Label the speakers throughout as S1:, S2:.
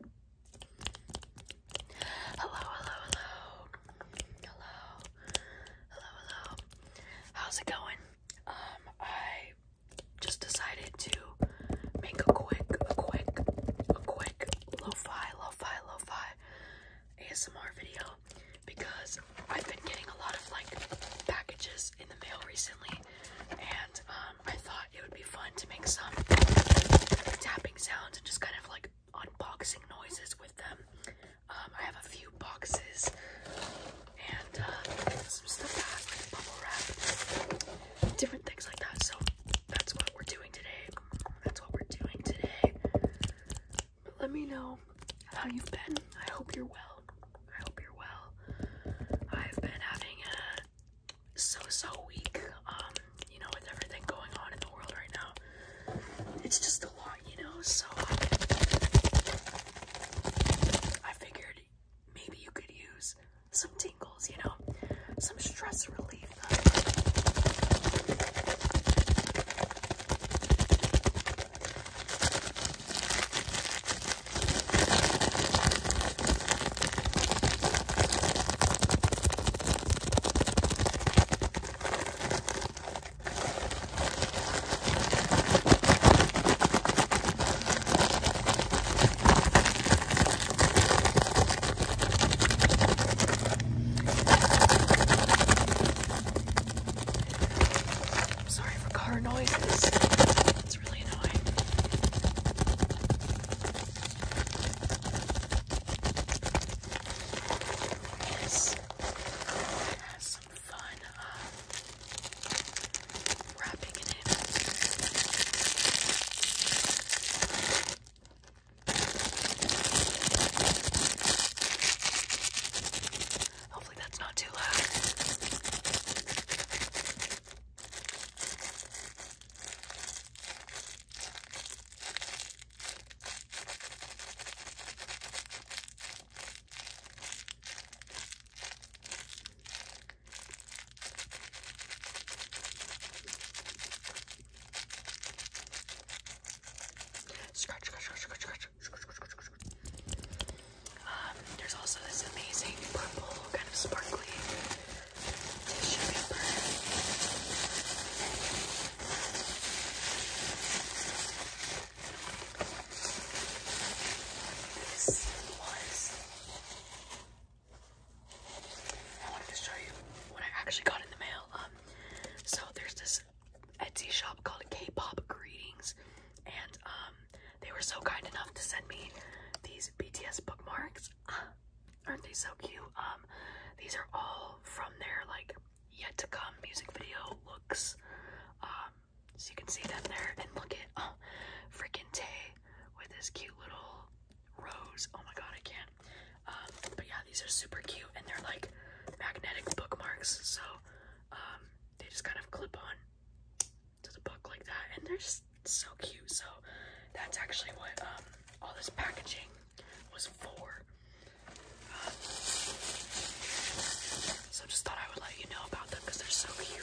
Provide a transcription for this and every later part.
S1: Hello, hello, hello. Hello. Hello, hello. How's it going? Um, I just decided to make a quick, a quick, a quick lo-fi, lo-fi, lo-fi ASMR video because I've been getting a lot of like packages in the mail recently and um, um, I thought it would be fun to make some tapping sounds and just kind of like unboxing noises with them. Um, I have a few boxes and uh, some stuff that has like bubble wrap, different things like that. So that's what we're doing today. That's what we're doing today. let me know how you've been. I hope you're well. I hope you're well. I've been having a so so weak. Um, you know, with everything going on in the world right now, it's just a lot, you know. So I figured maybe you could use some tingles, you know, some stress relief. Sorry for car noises. It's really annoying. Yes. It some fun uh, wrapping it. Hopefully that's not too loud. Scratch, scratch, scratch, scratch, scratch, scratch, scratch, Um, there's also this amazing purple kind of sparkly this was. I wanted to show you what I actually got in the mail. Um, so there's this Etsy shop called k Greetings, and um, they were so kind enough to send me these BTS bookmarks. Uh, Aren't they so cute? Um, these are all from their like yet to come music video looks. Um, so you can see them there and look at oh, freaking Tay with his cute little rose. Oh my god, I can't. Um, but yeah, these are super cute and they're like magnetic bookmarks, so they just kind of clip on to the book like that and they're just so cute so that's actually what um, all this packaging was for um, so just thought i would let you know about them because they're so cute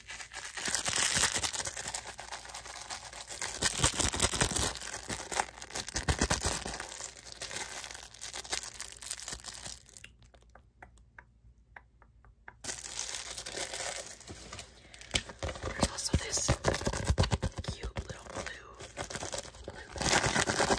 S1: There's also this cute little blue blue pattern.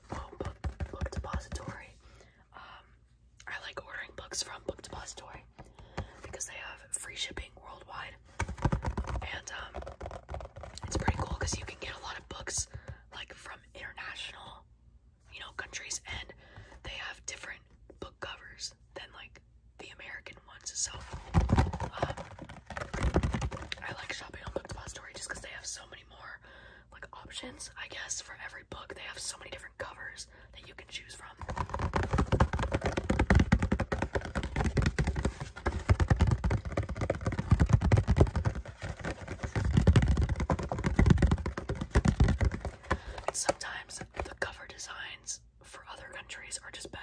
S1: book, book depository. Um, I like ordering books from Book Depository because they have free shipping worldwide, and um, it's pretty cool because you can get a lot of books like from international, you know, countries, and they have different book covers than like the American ones. So um, I like shopping on Book Depository just because they have so many more like options, I guess, for every book. They have so many different covers that you can choose from. sometimes the cover designs for other countries are just better.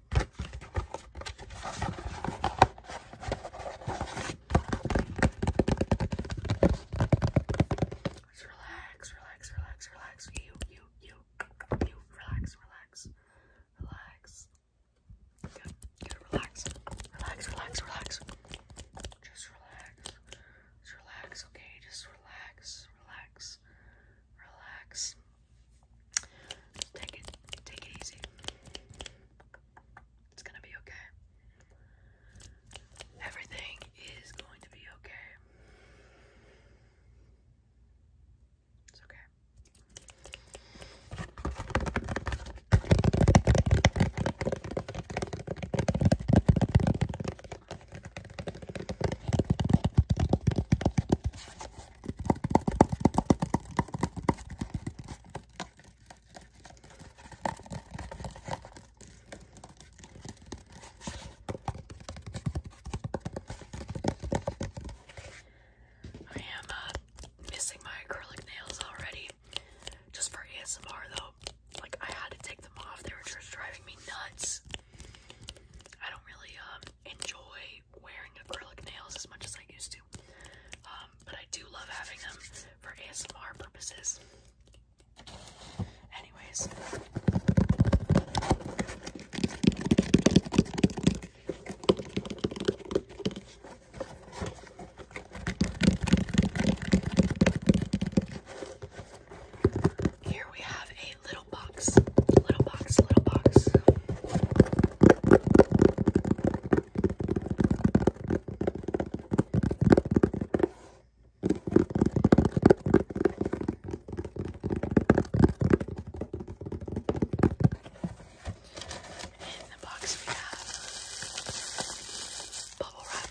S1: Let's relax, relax, relax, relax. You, you, you, you, relax, relax, relax. Good, good, relax, relax, relax, relax. Just relax, just relax, okay? Just relax, relax relax, take it, take it easy. It's gonna be okay. Everything is going to be okay. It's okay. I am uh, missing my acrylic nails already. Just for ASMR though, like I had to take them off. They were just driving me nuts. I don't really um enjoy wearing acrylic nails as much as I used to. Um, but I do love having them for ASMR purposes. Anyways. Here we have a little box, little box, little box. In the box we have bubble wrap.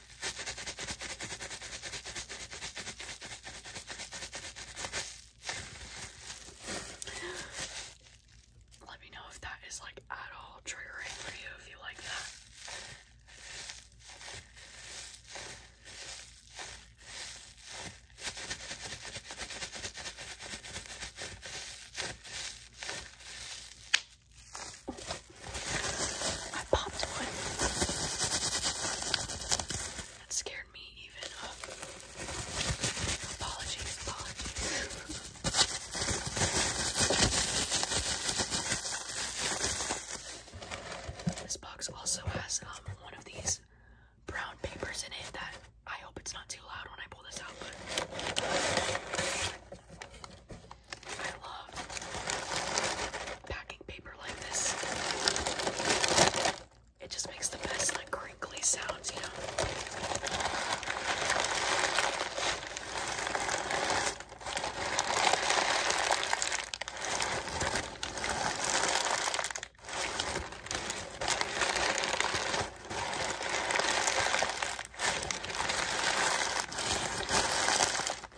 S1: Let me know if that is like at all triggering for you if you like that. I popped one. That scared me even. Oh. Apologies, This box also has um, one of these brown papers in it that I hope it's not too loud when I pull this out, I love packaging paper like this. It just makes the best like crinkly sounds, you know.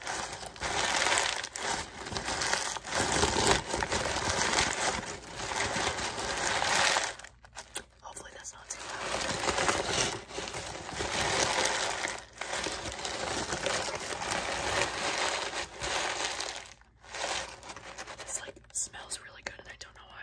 S1: Hopefully that's not too loud. This like smells really good and I don't know why.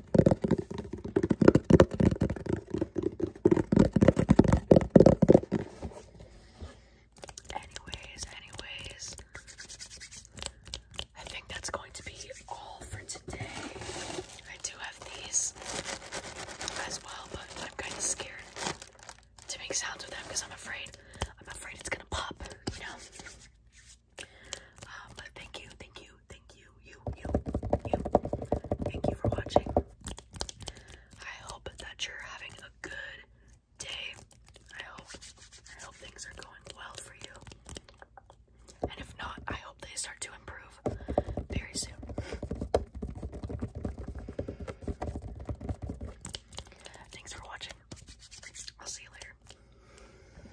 S1: Anyways, anyways, I think that's going to be all for today. I do have these as well, but I'm kind of scared to make sounds with them because I'm afraid I'm afraid it's gonna pop, you know. Um, but thank you, thank you, thank you, you, you, you. Thank you for watching. I hope that you're having a good day. I hope I hope things are going well for you. And if not, I hope they start to improve very soon. Thanks for watching. I'll see you later.